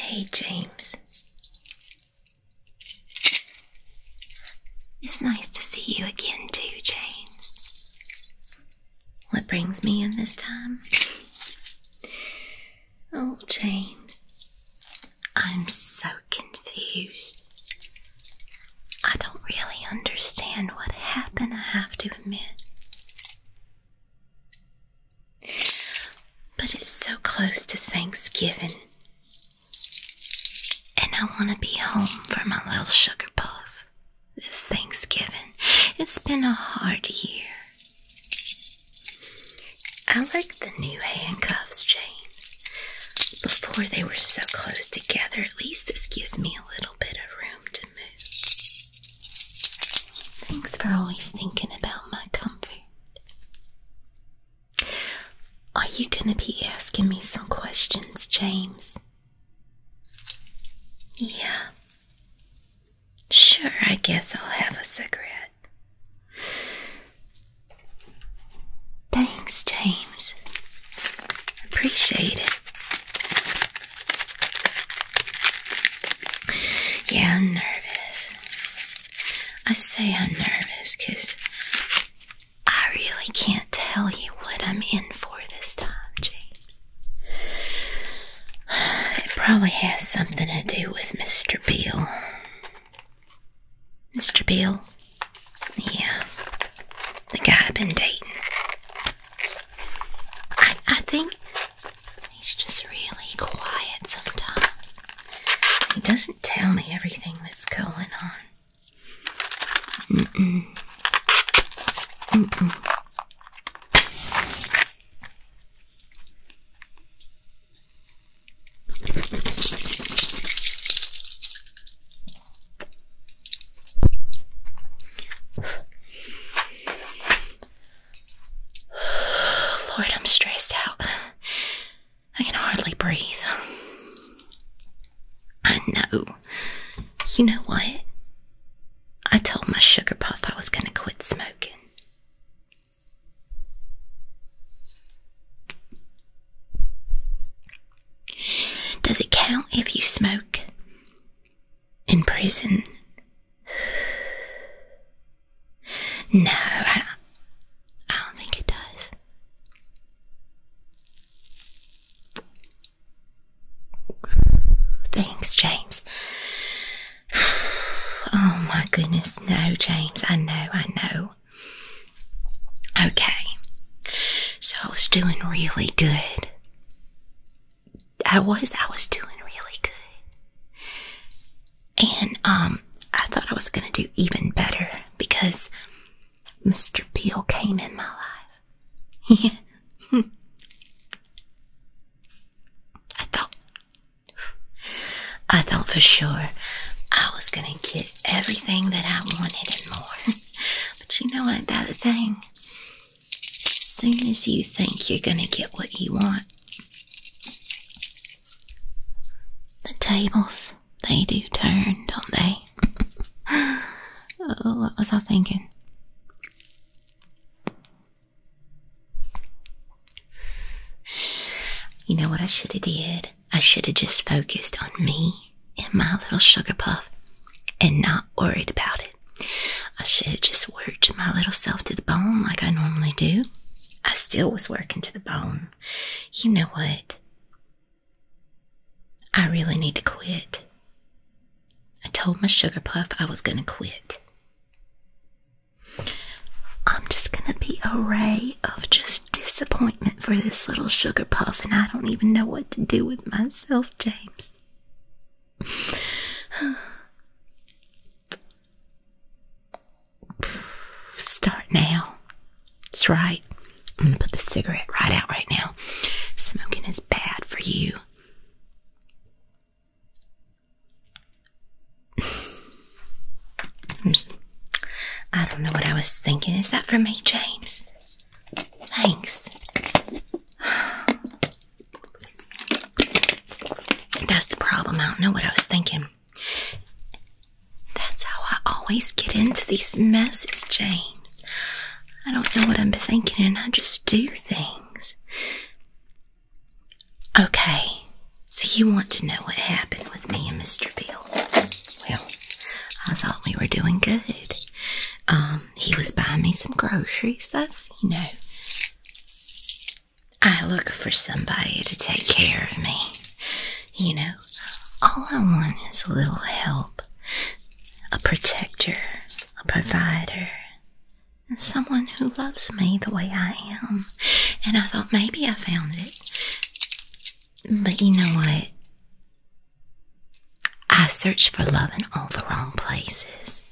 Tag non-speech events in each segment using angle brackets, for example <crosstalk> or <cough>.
Hey, James. It's nice to see you again, too, James. What brings me in this time? Oh, James, I'm so confused. I don't really understand what happened, I have to admit. But it's so close to Thanksgiving, and I want to be home for my little sugar puff this Thanksgiving. It's been a hard year. I like the new handcuffs, James. Before they were so close together, at least this gives me a little bit of room to move. Thanks for always thinking about my comfort. Are you going to be asking me some questions, James? Yeah. Sure, I guess I'll have a cigarette. Thanks, James. Appreciate it. Yeah, I'm nervous. I say I'm nervous because I really can't tell you what I'm in for this time, James. <sighs> It probably has something to do with Mr. Beale. Mr. Beale? Yeah. The guy I've been dating. I, I think he's just really quiet sometimes. He doesn't tell me everything that's going on. <sighs> Lord, I'm stressed out. I can hardly breathe. I know. You know what? I told my sugar puff I was going to quit smoking. Does it count if you smoke in prison? No, I, I don't think it does. Thanks, James. <sighs> Oh my goodness, no, James, I know, I know. Okay, so I was doing really good. I was, I was doing really good. And, um, I thought I was gonna do even better because Mr. Beale came in my life. Yeah. <laughs> I thought I thought for sure I was gonna get everything that I wanted and more. <laughs> but you know what about the thing? Soon as you think you're gonna get what you want, the tables they do turn, don't they? <laughs> oh, what was I thinking? You know what I should have did? I should have just focused on me and my little sugar puff and not worried about it. I should have just worked my little self to the bone like I normally do. I still was working to the bone. You know what? I really need to quit. I told my sugar puff I was going to quit. I'm just going to be a ray of just disappointment for this little sugar puff, and I don't even know what to do with myself, James. <sighs> Start now. That's right. I'm gonna put the cigarette right out right now. Smoking is bad for you. <laughs> I don't know what I was thinking. Is that for me, James? Thanks. <sighs> That's the problem. I don't know what I was thinking. That's how I always get into these messes, James. I don't know what I'm thinking, and I just do things. Okay, so you want to know what happened with me and Mr. Bill? Well, I thought we were doing good. Um, he was buying me some groceries. That's you know, I look for somebody to take care of me. You know, all I want is a little help a protector, a provider, and someone who loves me the way I am. And I thought maybe I found it. But you know what? I searched for love in all the wrong places.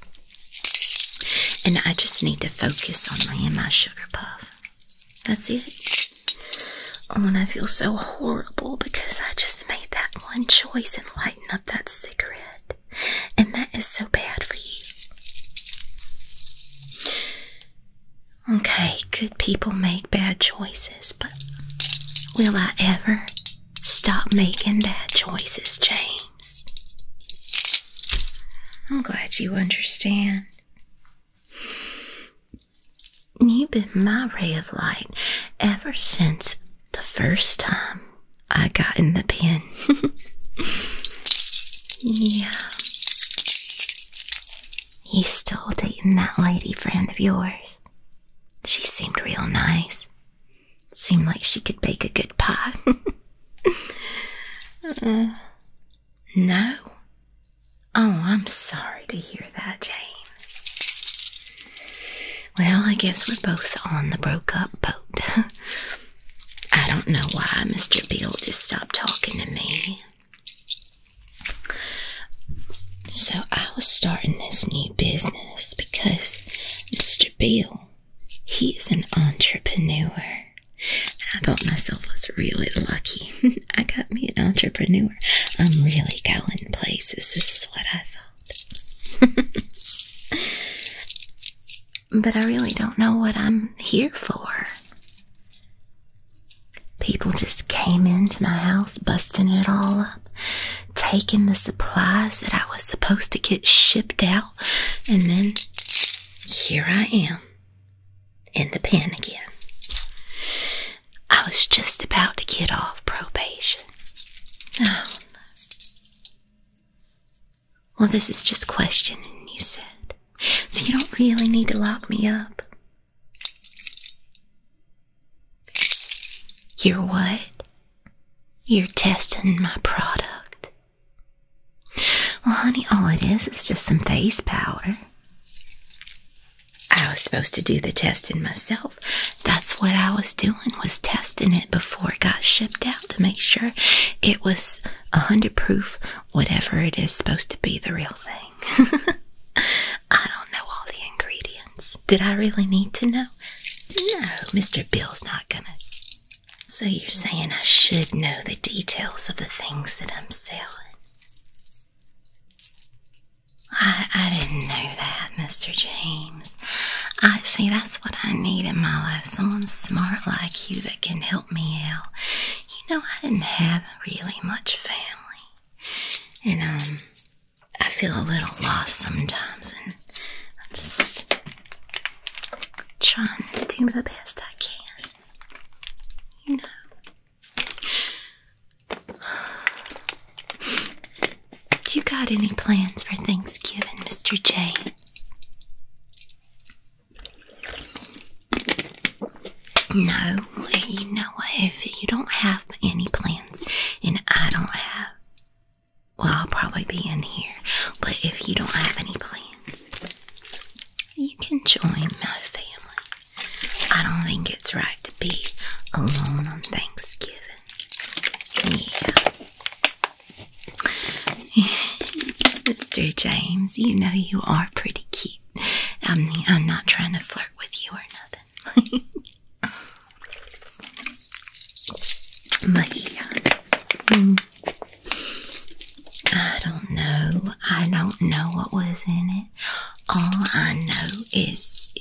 And I just need to focus on me and my sugar puff. That's it. Oh, and I feel so horrible because I just made that one choice and lighting up that cigarette. And that is so bad for you. Okay, good people make bad choices, but will I ever stop making bad choices, James? I'm glad you understand. You've been my ray of light ever since the first time I got in the pen. <laughs> yeah. You still dating that lady friend of yours? She seemed real nice. Seemed like she could bake a good pie. <laughs> Uh, no? Oh, I'm sorry to hear that, Jane. Well, I guess we're both on the broke up boat. <laughs> I don't know why Mr. Bill just stopped talking to me. So I was starting this new business because Mr. Bill, he is an entrepreneur. And I thought myself was really lucky. <laughs> I got me an entrepreneur. I'm really going places. <laughs> but I really don't know what I'm here for. People just came into my house, busting it all up, taking the supplies that I was supposed to get shipped out, and then here I am in the pen again. I was just about to get off probation. Oh, Well, this is just questioning, you said. So you don't really need to lock me up. You're what? You're testing my product. Well, honey, all it is is just some face powder. I was supposed to do the testing myself. That's what I was doing was testing it before it got shipped out to make sure it was a hundred proof, whatever it is supposed to be the real thing. <laughs> I don't know all the ingredients. Did I really need to know? No, Mr. Bill's not gonna. So you're saying I should know the details of the things that I'm selling? I, I didn't know that, Mr. James. I see that's what I need in my life. Someone smart like you that can help me out. You know, I didn't have really much family. And um I feel a little lost sometimes and I'm just trying to do the best I can. You know. Do you got any plans for Thanksgiving, Mr. Jay? No, you know what? If you don't have any plans, and I don't have, well, I'll probably be in here. But if you don't have any plans, you can join my family. I don't think it's right to be alone on Thanksgiving. Yeah. <laughs> Mr. James, you know you are pretty cute. I mean, I'm not trying to flirt with you or nothing. <laughs> but hmm. I don't know. I don't know what was in it. All I know is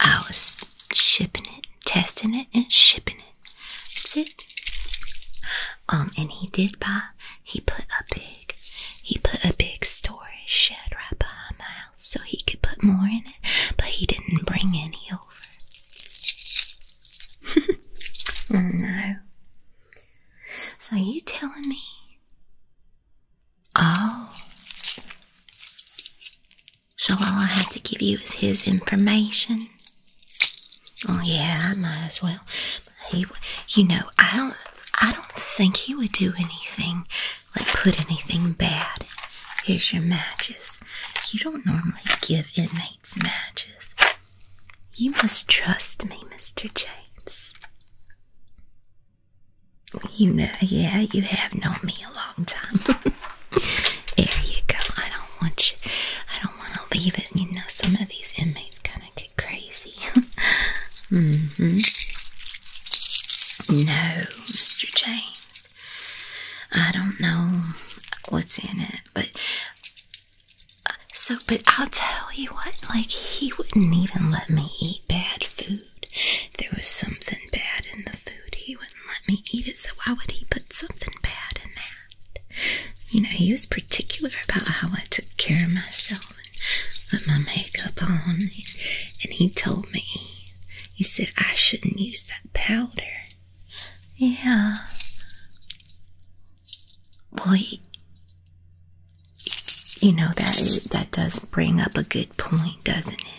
I was shipping it, testing it, and shipping it. That's it. Um, and he did buy. He put a big, he put a big storage shed right behind my house so he could put more in it. But he didn't bring any over. <laughs> no. So you telling me Oh. So all I have to give you is his information? Oh yeah, I might as well. He, you know, I don't, I don't think he would do anything, like put anything bad. Here's your matches. You don't normally give inmates matches. You must trust me, Mr. James. You know, yeah, you have known me a long time. <laughs> there you go. I don't want you. I don't want to leave it. You know, some of these inmates kind of get crazy. <laughs> hmm. No, Mr. James. I don't know what's in it, but uh, so. But I'll tell you what. Like he wouldn't even let me eat bad food. There was something bad in the food. He wouldn't let me eat it, so why would he put something bad in that? You know, he was particular about how I took care of myself and put my makeup on. And he told me, he said I shouldn't use that powder. Yeah. Well, he, you know that that does bring up a good point, doesn't it?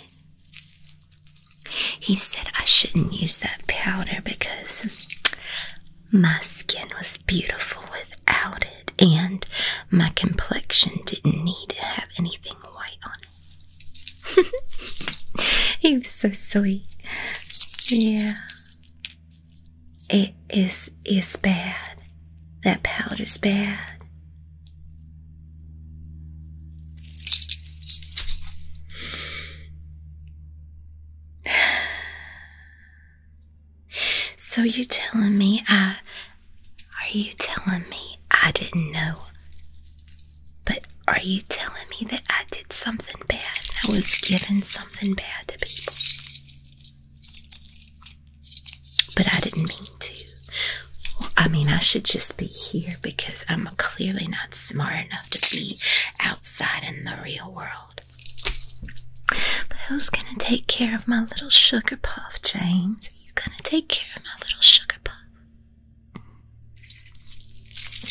He said I shouldn't use that powder because my skin was beautiful without it, and my complexion didn't need to have anything white on it. <laughs> He's so sweet. Yeah. It is is bad. That powder's bad. <sighs> So you telling me I are you telling me I didn't know? But are you telling me that I did something bad? I was giving something bad to people. But I didn't mean to. I mean, I should just be here because I'm clearly not smart enough to be outside in the real world. But who's going to take care of my little sugar puff, James? Are you going to take care of my little sugar puff?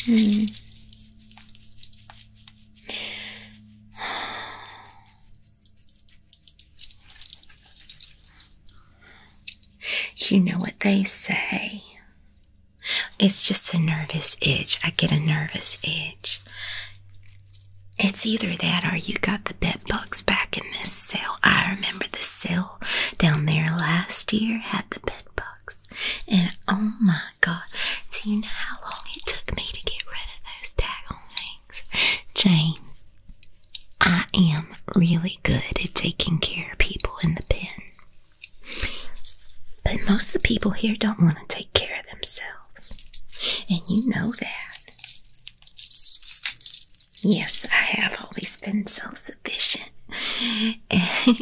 Hmm. You know what they say. It's just a nervous itch. I get a nervous itch. It's either that or you got the bed bugs back in this cell. I remember the cell down there last year had the bed bugs. And oh my god, do you know how long it took me to get rid of those tag daggone James, I am really good at taking care of people in the pen. But most of the people here don't want to take care of themselves. And you know that. Yes, I have always been so sufficient. <laughs> I'm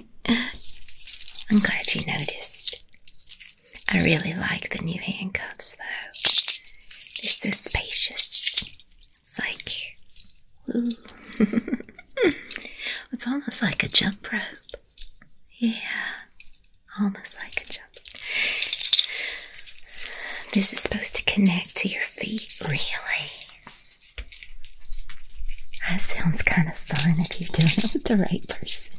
glad you noticed. I really like the new handcuffs, though. They're so spacious it's <laughs> like, it's almost like a jump rope. Yeah, almost like a jump. This is supposed to connect to your feet, really. That sounds kind of fun if you're doing it with the right person.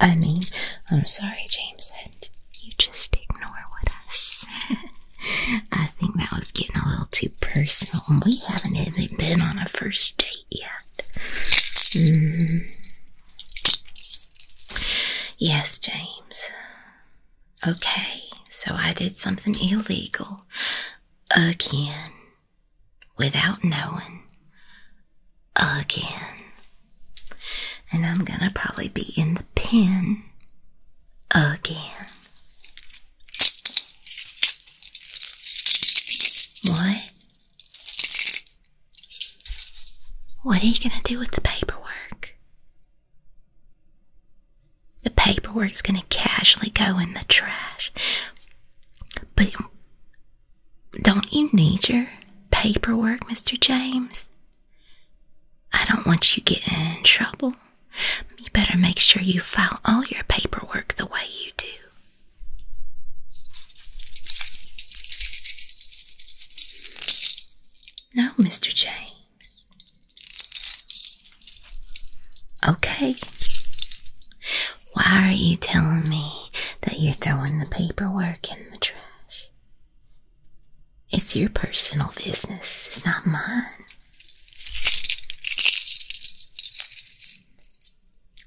I mean, I'm sorry, James, that you just ignore what I said. <laughs> <laughs> I think that was getting a little too personal. We haven't even been on a first date yet. Mm. Yes, James. Okay, so I did something illegal again without knowing again. And I'm gonna probably be in the pen again. What? What are you going to do with the paperwork? The paperwork's going to casually go in the trash. But don't you need your paperwork, Mr. James? I don't want you getting in trouble. You better make sure you file all your paperwork the way you do. No, Mr. James. Okay. Why are you telling me that you're throwing the paperwork in the trash? It's your personal business, it's not mine.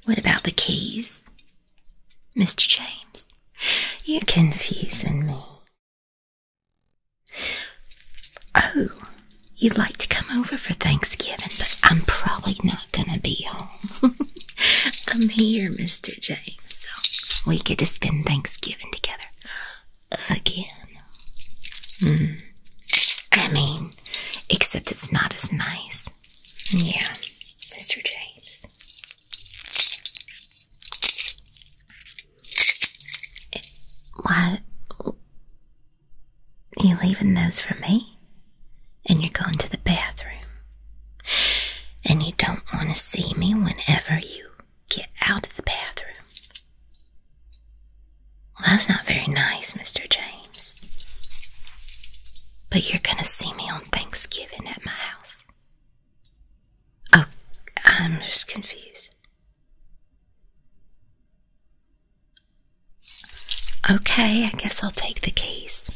What about the keys? Mr. James, you're confusing me. Oh, you'd like to come over for Thanksgiving, but I'm probably not going to be home. <laughs> I'm here, Mr. James, so we get to spend Thanksgiving together again. Mm. I mean, except it's not as nice. Yeah, Mr. James. why? You're leaving those for me? And you're going to the bathroom. And you don't want to see me whenever you get out of the bathroom. Well, that's not very nice, Mr. James. But you're going to see me on Thanksgiving at my house. Oh, I'm just confused. Okay, I guess I'll take the keys.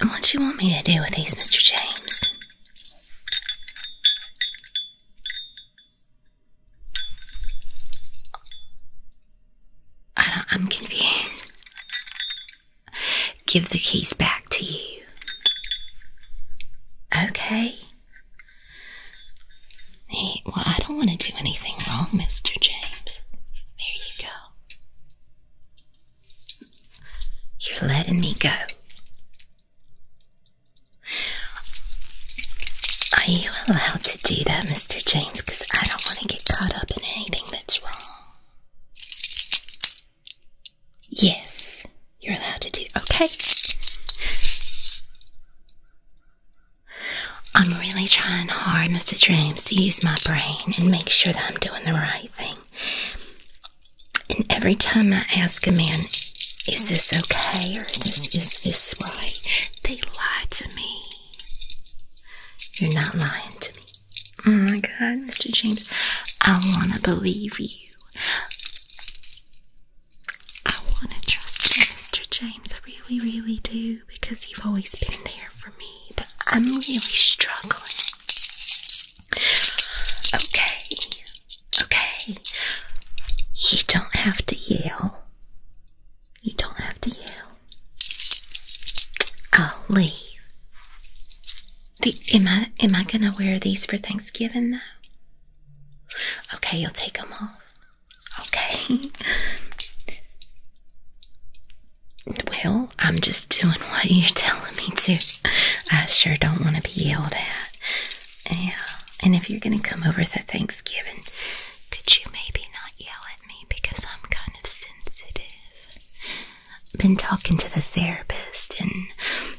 What do you want me to do with these, Mr. James? I am confused. Give the keys back to you. Okay. well, I don't want to do anything wrong, Mr. James. There you go. You're letting me go. Are you allowed to do that, Mr. James? Because I don't want to get caught up in anything that's wrong. Yes, you're allowed to do. Okay. I'm I'm really trying hard, Mr. James, to use my brain and make sure that I'm doing the right thing. And every time I ask a man, is this okay or this is this right? They lie to me. You're not lying to me. Oh my god, Mr. James, I wanna believe you. I wanna trust you, Mr. James. I really, really do, because you've always been there for me but I'm really struggling. Okay, okay. You don't have to yell. You don't have to yell. I'll leave. am I am I gonna wear these for Thanksgiving though? Okay, you'll take them off. Okay. <laughs> Well, I'm just doing what you're telling me to. I sure don't want to be yelled at. Yeah, and if you're going to come over for Thanksgiving, could you maybe not yell at me because I'm kind of sensitive? Been talking to the therapist and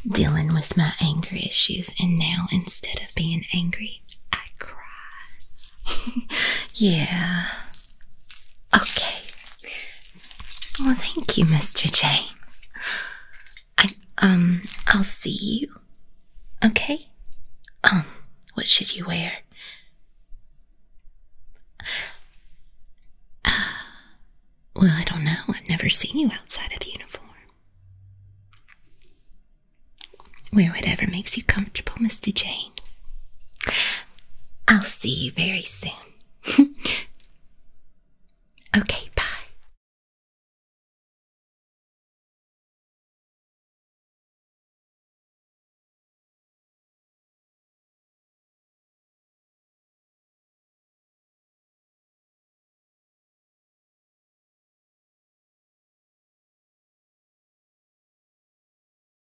dealing with my anger issues, and now instead of being angry, I cry. <laughs> yeah. Okay. Well, thank you, Mr. James. I um, I'll see you. Okay. Um, what should you wear? Uh, well, I don't know. I've never seen you outside of uniform. Wear whatever makes you comfortable, Mr. James. I'll see you very soon. <laughs> okay, bye.